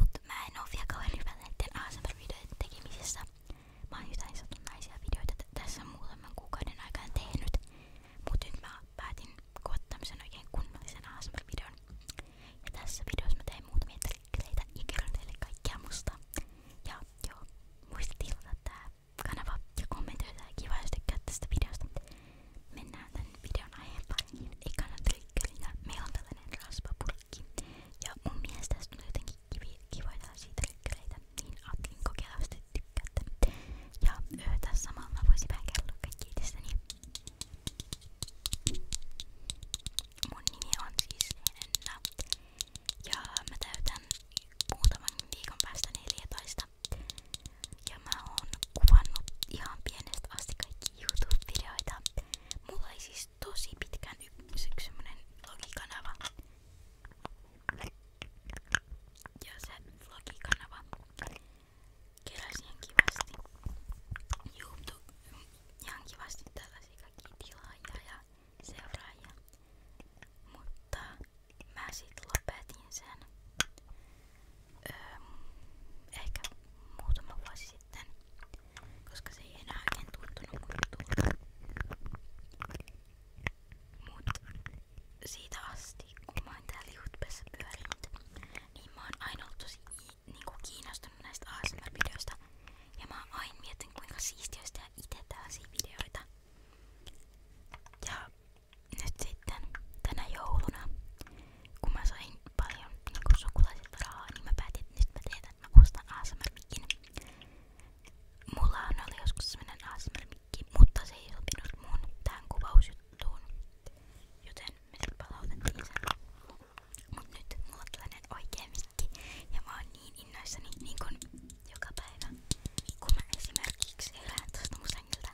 Mut mä en oo vielä kauhean hyvä näiden ASMR-videoiden tekemisessä. Mä oon jotain satunnaisia videoita tässä muutaman kuukauden aikana tehnyt. Mut nyt mä päätin koota tämmösen oikein kunnollisen ASMR-videon. Ja tässä videossa mä teen muutamia trikkereitä ja kerron teille kaikkea musta. Ja joo, muista tilata tää kanava ja kommentoida ja kiva jos tykkäät tästä videosta. Mennään tän videon aiheen pariin. Ekana trikkerillä meillä on tällainen raspapurkki kaikki. Ja mun mielestä tästä tulee jotenkin kivi, kivoja tällaisia trykkäreitä, niin ajattelin kokeilla, jos te tykkäätte. Ja öö, tässä samalla mä voisin vähän kertoa kaikki itsestäni. Mun nimi on siis Henna. Ja mä täytän muutaman viikon päästä 14. Ja mä oon kuvannut ihan pienestä asti kaikki YouTube-videoita. Mulla ei siis siis tosi pitkään yksi semmonen vlogikanava. Ja se vlogikanava keräsi ihan kivasti YouTube, ihan kivasti tällaisia kaikki tilaajia ja seuraajia. Mutta mä sit lopetin sen öö, ehkä muutama vuosi sitten koska se ei enää oikein tuntunut muuttua. Mut siitä asti, kun mä oon täällä Jutbessa pyörinyt, niin mä oon aina ollut tosi niinku kiinnostunut näistä ASMR-videoista. Ja mä oon aina miettinyt, kuinka siistiä olisi tehdä itse tällaisia videoita. Ja nyt sitten tänä jouluna kun mä sain paljon niinku sukulaisilta rahaa, niin mä päätin, että nyt mä teen, että mä ostan ASMR-mikin. Mullahan oli joskus sellainen ASMR-mikki, mutta se ei sopinut mun tähän kuvausjuttuun, joten me sit palautettiin sen. Mut nyt mulla on tällainen oikea mikki ja mä oon niin innoissani niin kun joka päivä, kun mä esimerkiksi elän tosta mun sängiltä,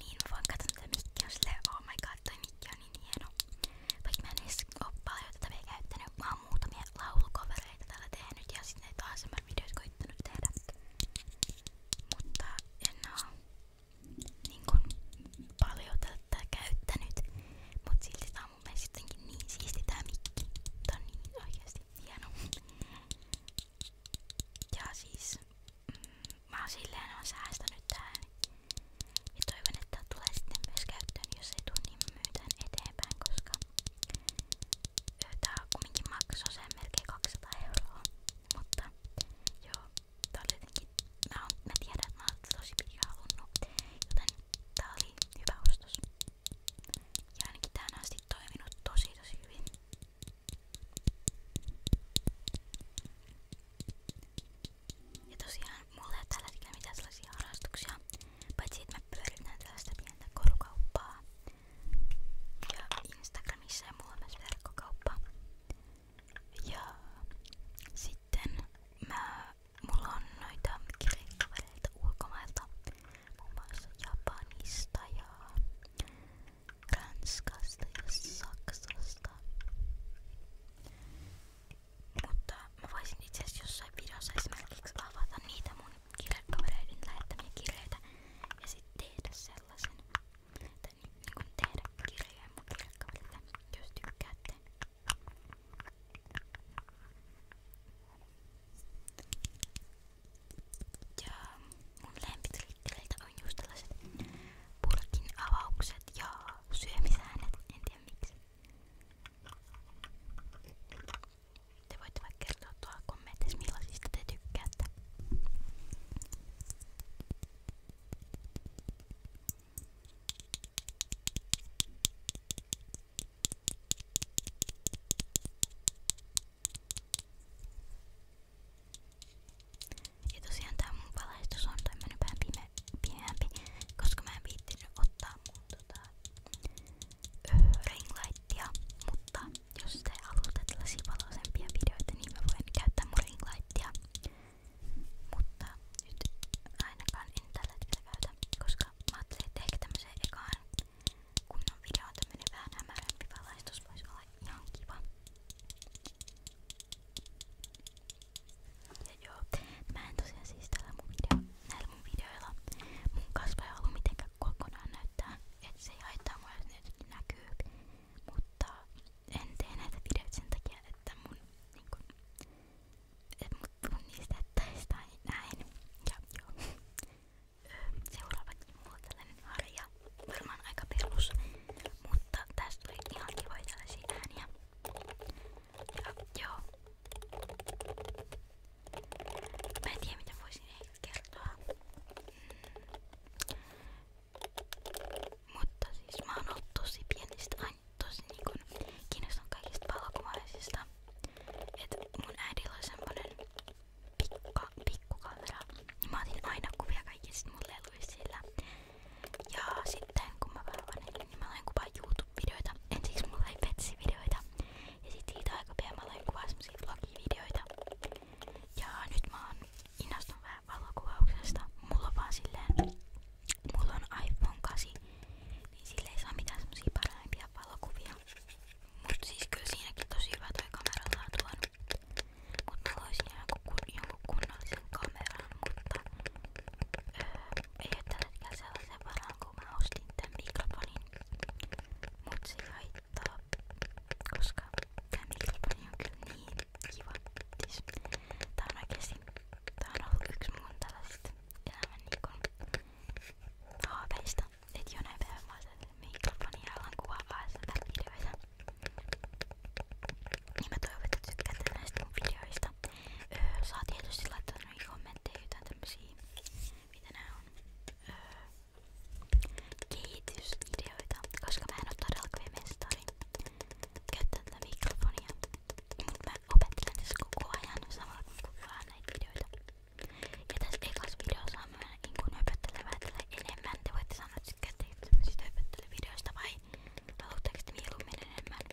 niin mä voin katsoa tätä mikkiä silleen, oh my god, toi mikki on niin hieno. Vaikka mä en edes oo paljon tätä vielä käyttänyt, mä oon muutamia laulukovereita täällä tehnyt ja sitten näitä ASMR-videoita koittanut tehdä. Mutta en oo niin kun, paljon tätä käyttänyt, mutta silti tää on mun mielestä jotenkin niin siisti tää mikki. Tää on niin oikeesti hieno. Ja siis mm, mä oon silleen on säästänyt tähän ja toivon, että tää tulee sitten myös käyttöön, jos ei tule, niin myytään eteenpäin, koska tää kumminkin maksoi sen melkein 200 euroa. Mutta joo, tää oli jotenkin, mä, on, mä tiedän, että mä oon tosi pitkään halunnut, joten tää oli hyvä ostos. Ja ainakin tähän asti toiminut tosi tosi hyvin. Ja tosiaan mulla ei ole tällä hetkellä mitään sellaisia harrastuksia, paitsi että mä pyöritän tällaista pientä korukauppaa. Ja Instagramissa ja mulla on myös verkkokauppa. Ja sitten mä, mulla on noita kirjekavereita ulkomailta, muun muassa Japanista ja Ranskasta ja Saksasta. Mutta mä voisin itse asiassa jossain videossa esimerkiksi avata niitä mun kirjekavereiden lähettämiä kirjeitä ja sitten tehdä sellaisen. Tai niin, niin kun tehdä kirjoja mun kirjekavereille, jos tykkäätte. Ja mun lempitrikkereiltä on just tällaiset purkin avaukset ja syömisäänet, en tiedä miksi. Te voitte vaikka kertoa tuolla kommenteissa millaisista te tykkäätte. Ja tosiaan tää mun valaistus on tämmönen vähän pimeä pienempi, koska mä en viittinyt ottaa mun tota, ringlightia, mutta jos te haluatte tällaisia valoisempia videoita, niin mä voin käyttää mun ringlightia. Mutta nyt ainakaan en tällä hetkellä käytä, koska mä ajattelin, että ehkä tämmöiseen ekaan kunnon videoon tämmönen vähän hämärämpi valaistus voisi olla ihan kiva. Ja joo, mä en tosiaan siis tällä mun video, näillä mun videoilla mun kasvoja ollut mitenkään kokonaan näyttää, et se ei haittaa mua jos ne näkyy, mutta en tee näitä videoita sen takia, että mun niinku, et mut tunnistettaisi tai näin. Ja joo. Seuraavaksi mulla on tällainen harja, varmaan aika perus, mutta tästä tuli ihan kivoja tällaisia ääniä. Joo. Mä en tiedä mitä voisin heille kertoa. Mm. Mutta siis mä oon ollut tosi pienistä aina tosi niinku kiinnostunut kaikista valokuvaisista. Et mun äidillä oli semmonen pikka, pikkukamera. Ja mä otin aina kuvia kaikista mun leluista sillä. Ja sitten kun mä vähän vanhelin, niin mä aloin kuvaa YouTube-videoita. Ensiksi mulla oli Petsi-videoita. Ja sit siitä aika pian mä aloin kuvaa semmosia vlogi-videoita. Ja nyt mä oon innostunut vähän valokuvauksesta. Mulla on vaan silleen, mulla on iPhone 8, niin sille ei saa mitään semmosia parempia valokuvia. Mut siis kyllä siinäkin tosi hyvä toi kamera saa tuonut. Mut mä loisin jonkun, kun, jonkun kunnollisen kameran, mutta öö, ei oo tällä se ei haittaa, koska tää mikrofoni on kyllä niin kiva. Siis, tää on ollut yks mun tällaisista elämän niinku haaveista. Et jonain päivänä mä oon mikrofonin ja alan kuvaa ASMR-videoita. Niin mä toivon, että tykkäätte näistä mun videoista. Öö, tietysti laittaa laittanut kommentteja jotain tämmösiä, mitä nää on, öö, kehitysideoita, koska mä en oo todellakaan mestari käyttää tätä mikrofonia, mut mä opettelen tässä koko ajan samalla kun kuvaan näitä videoita. Ja tässä ekassa videossa on mä niin höpöttelemään enemmän, te voitte sanoa, että tykkäätte tämmöisistä höpöttelyvideoista vai haluatteko te mieluummin enemmän?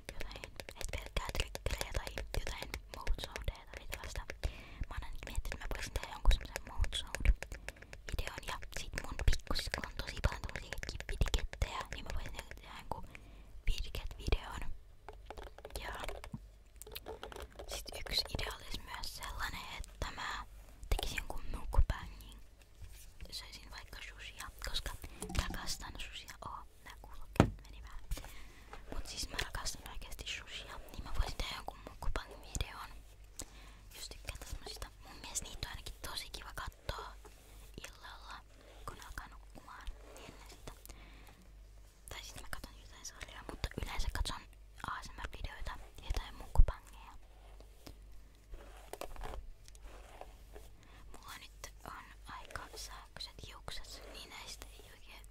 jotain, et pelkkää trikkelejä tai jotain mouthsoundeja tai tällaista. Mä oon ainakin miettinyt, että mä voisin videon ja sit mun pikkusiskolla on tosi paljon tällaisia niin mä voisin tehdä jonkun vidiket-videon. yksi idea olisi myös sellainen, että mä tekisin jonkun mukbangin. Söisin vaikka sushia, koska mä kastan sushia nää kuulokkeet menivät. Mut siis mä rakastan oikeesti sushia, niin mä voisin tehdä jonkun mukbang videon. Jos tykkää tämmöisistä. Mun mielestä niitä on ainakin tosi kiva kattoo illalla, kun alkaa nukkumaan. Niin ennen sitä. Tai sit mä katon jotain sarjaa, mutta yleensä katson ASMR-videoita ja jotain mukbangeja. Mulla nyt on aika sähköiset hiukset, niin näistä ei oikein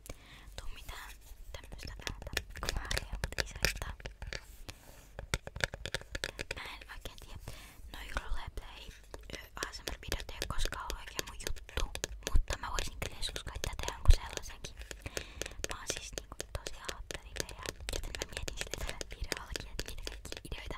tuu mitään tämmöstä päätä kumaaria, mutta isästä. Mä en oikein tiedä. Noi roleplay ASMR-videot ei ole koskaan ollut oikein mun juttu, mutta mä voisin kyllä joskus koittaa tehdä jonkun sellaisenkin. Mä oon siis niinku tosi haattaville ja joten mä mietin sille tällä videollakin, että mitä kaikki ideoita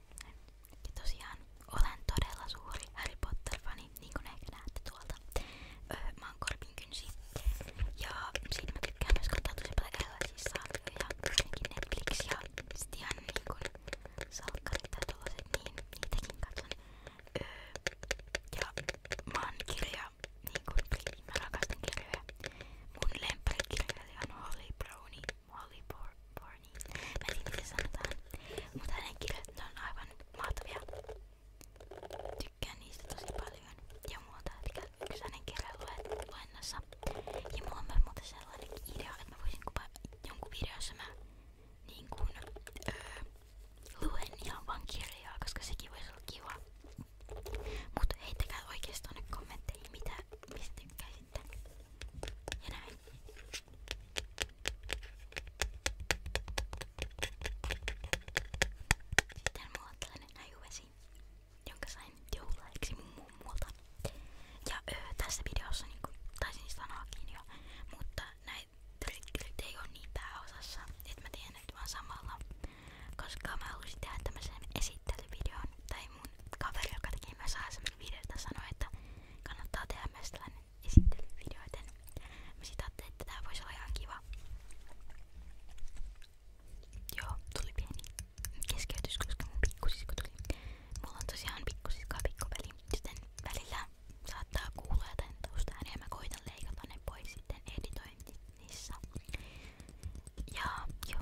Ja tosiaan olen todella suuri Harry Potter-fani, niin kuin ehkä näette tuolta. Öö, mä oon Korpin kynsi. Ja siitä mä tykkään myös katsoa tosi paljon erilaisia sarjoja, ainakin Netflix ja sit ihan niinku salkkarit tai tollaset, niin niitäkin katson. Öö, ja mä oon kirja, niinku mä rakastan kirjoja. Mun lempärikirjailija on Holly Brownie. Molly Bor Borny. Mä en tiedä miten sanotaan. Mutta hänen kirjat ne on aivan mahtavia. Tykkään niistä tosi paljon. Ja muuta, eli yksi hänen kirjan luennossa. Ja mulla on myös muuten sellainen idea, että mä voisin kuvaa jonkun videossa mä niin kuin, öö, luen ihan vaan kirjaa, koska sekin voisi olla kiva. Mutta heittäkää oikeastaan kommentteihin, mitä, mistä tykkäisitte. Ja näin. Sitten mulla on tällainen näyvesi, jonka sain joululahjaksi mun mummulta. Ja öö, tässä videossa niinku, taisin sanoakin jo, mutta näitä tyrkkylit ei oo niin pääosassa, että mä teen nyt vaan samalla. Koska mä halusin tehdä tämmöisen esittelyvideon, tai mun kaveri, joka tekee myös ASMR-videota, sanoi, että kannattaa tehdä myös tällainen esittelyvideo, joten mä sit ajattelin, että tää voisi olla ihan kiva. Joo, tuli pieni keskeytys, koska mun pikkusisko tuli. Mulla on tosiaan pikkusiskaa pikkupeli, joten välillä saattaa kuulla jotain taustaääniä ja mä koitan leikata ne pois sitten editoinnissa. Ja joo.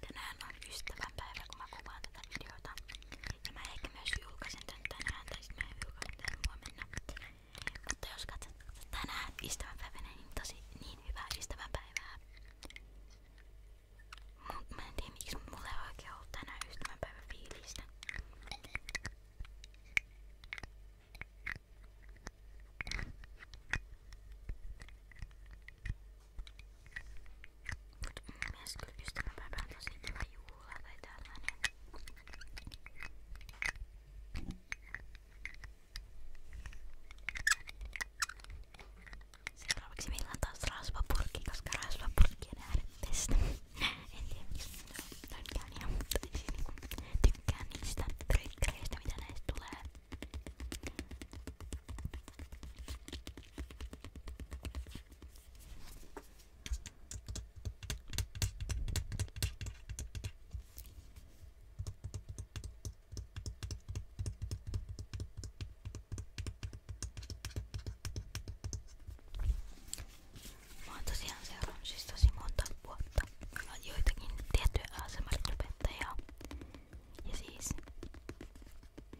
Tänään on ystävänpäivä, kun mä kuvaan tätä videota. Ja mä ehkä myös julkaisen tän tänään, tai sit mä en julkaisen tän huomenna. Mutta jos katsot tänään ystävänpäivänä, niin tosi niin hyvää ystävänpäivää. Mut mä en tiedä miksi mulla ei oikein ollut tänään ystävänpäivän fiilistä. Mut mun mielestä kyllä ystäväpäivä on tosi kiva juhla tai tällainen. Seuraavaksi meillä on taas rasvapurkki, koska rasvapurkki on äärettestä. en tiedä miksi. No, tykkään niistä trykkäreistä mitä näistä tulee. Mä oon tosiaan seurannut siis tosi monta vuotta joitakin tiettyjä asemallopettajia ja siis,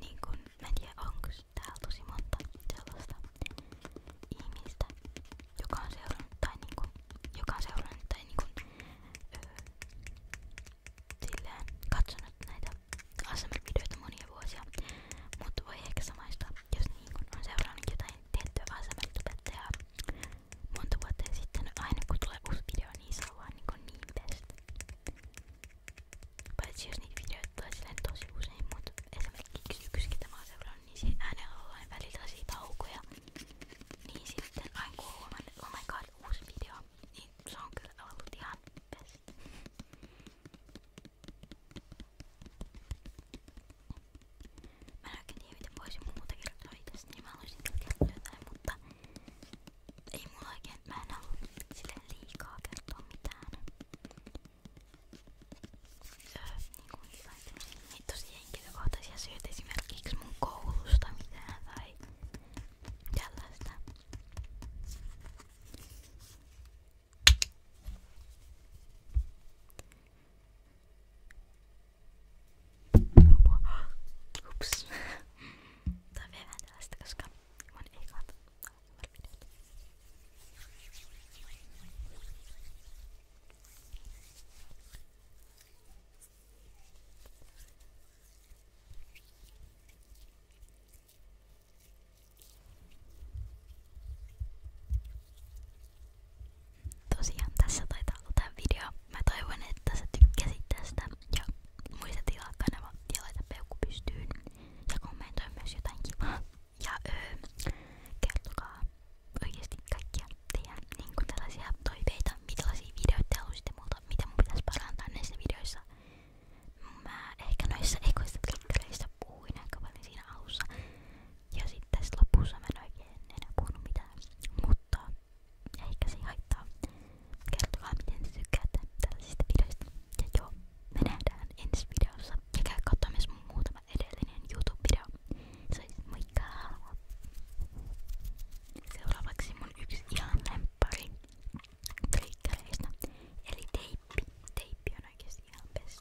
niin kun, mä en tiedä onko täällä tosi monta sellaista ihmistä, joka on seurannut tai niin kun, joka on seurannut tai niin kun, öö, silleen katsonut näitä ASMR-videoita monia vuosia, mutta voi ehkä samaistua, jos niin kun on seurannut jotain tiettyä ASMR-tubettajaa monta vuotta sitten aina kun tulee uusi video, niin saa vaan niinku niin tästä. Paitsi jos niitä videoita tulee silleen tosi usein, mutta esimerkiksi yksi ketä mä oon seurannut, niin siinä äänellä on aina välillä siitä taukoja. Niin sitten aina kun huomaan, että oh my god, uusi video, niin se on kyllä ollut ihan best. Mä en oikein tiedä miten voisin muuta kirjoittaa itsestä, niin mä haluaisin kertoa jotain, mutta ei mulla oikein, mä en halua sille liikaa kertoa mitään. Öö, niin ei tosi henkilökohtaisia syitä esimerkiksi mun koulusta mitään tai tällaista. Apua. Hups. Toi vie vähän tällaista, koska mun ei kannata videota. Tosiaan tässä taitaa olla tää video. Mä toivon, että sä tykkäsit tästä ja muista tilaa kanava ja laita peukku pystyyn ja kommentoi myös jotain kivaa. Ja öö, kertokaa oikeesti kaikkia teidän niinku tällaisia toiveita, millaisia videoita te haluaisitte multa, mitä mun pitäisi parantaa näissä videoissa. Mä ehkä noissa ekoissa klikkareissa puhuin aika paljon siinä alussa ja sitten tässä lopussa mä en oikein enää puhunut mitään, mutta eikä se haittaa. Kertokaa miten te tykkäätte tällaisista videoista. Ja joo, me nähdään ensi videossa. Ja käy katsomaan mun muutama edellinen YouTube-video. Se on siis moikka! Seuraavaksi mun yksi ihan lämpäri trikkereistä. Eli teippi. Teippi on oikeesti ihan best.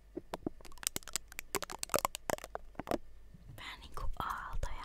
Vähän niinku aaltoja.